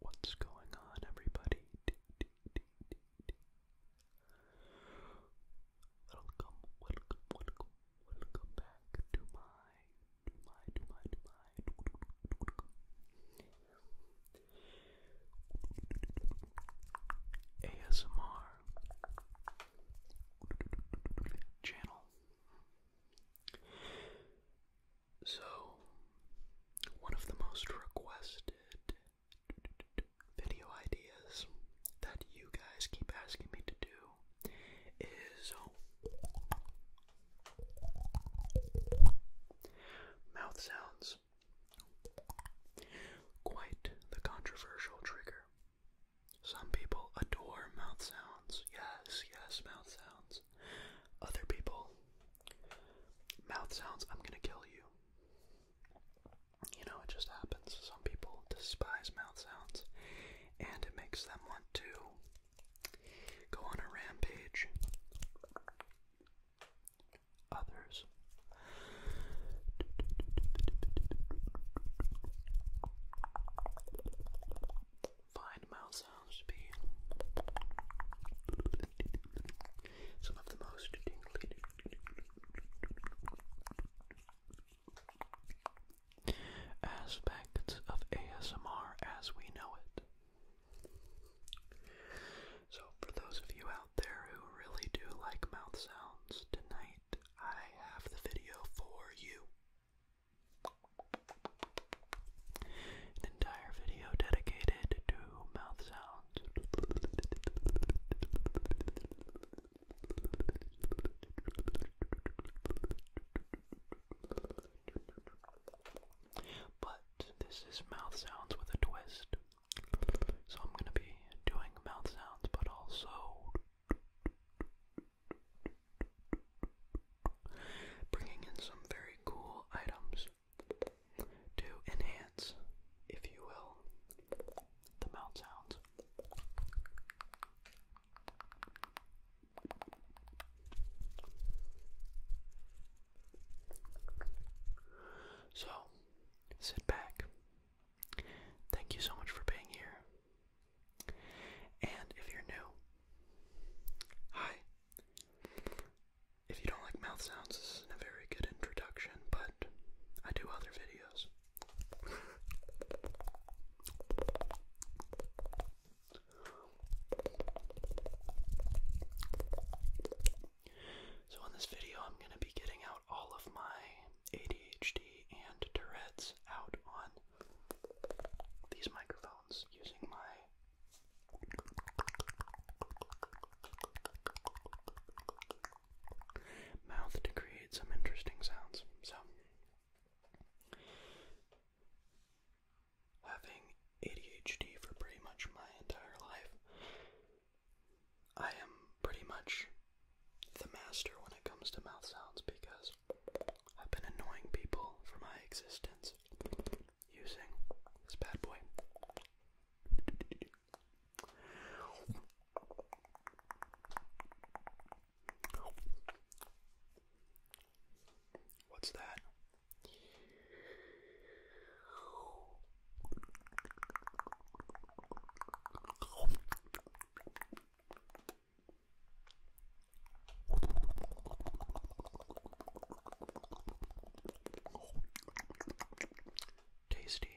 What's going on, everybody? Welcome, welcome, welcome, welcome back to my, to my, my, my. ASMR channel. So, one of the most requested video ideas that you guys keep asking me to do is um, mouth sounds. Quite the controversial trigger. Some people adore mouth sounds. Yes, yes, mouth sounds. Other people, mouth sounds, I'm gonna kill you. You know, it just happens. Some people despise mouth sounds, and it makes them want to go on a rampage. Others. Find mouth sounds to be some of the most tingly, Aspects of ASMR as we know it. So, for those of you out there who really do like mouth sounds, tonight I have the video for you. An entire video dedicated to mouth sounds. But this is mouth sounds with a twist. So I'm going to be doing mouth sounds, but also bringing in some very cool items to enhance, if you will, the mouth sounds. So, sit back. Thank you so much for being here. And if you're new, hi. If you don't like mouth sounds, this is a very good introduction, but I do other videos. So, in this video, I'm going to be getting out all of my ADHD and Tourette's out on these microphones using my mouth to create some interesting sounds. So, having ADHD for pretty much my entire life, I am pretty much the master when it comes to mouth sounds because I've been annoying people for my existence using this bad boy. What's that? Tasty.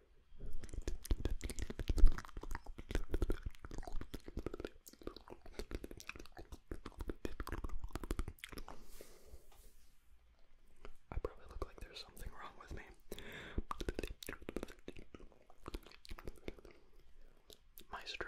I probably look like there's something wrong with me. Maestro.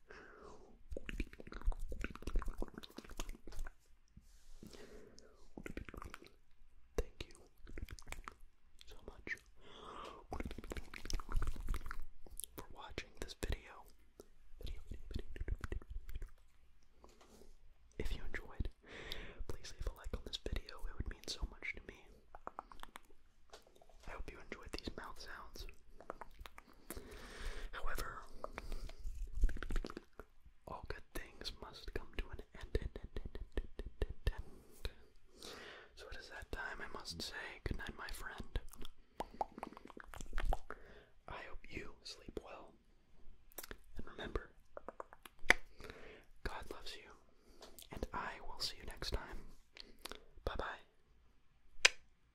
Thank you so much for watching this video. If you enjoyed, please leave a like on this video. It would mean so much to me. I hope you enjoyed these mouth sounds. However, all good things must come to an end. So it is that time I must say goodnight, my friend. I hope you sleep well. And remember, God loves you, and I will see you next time. Bye bye.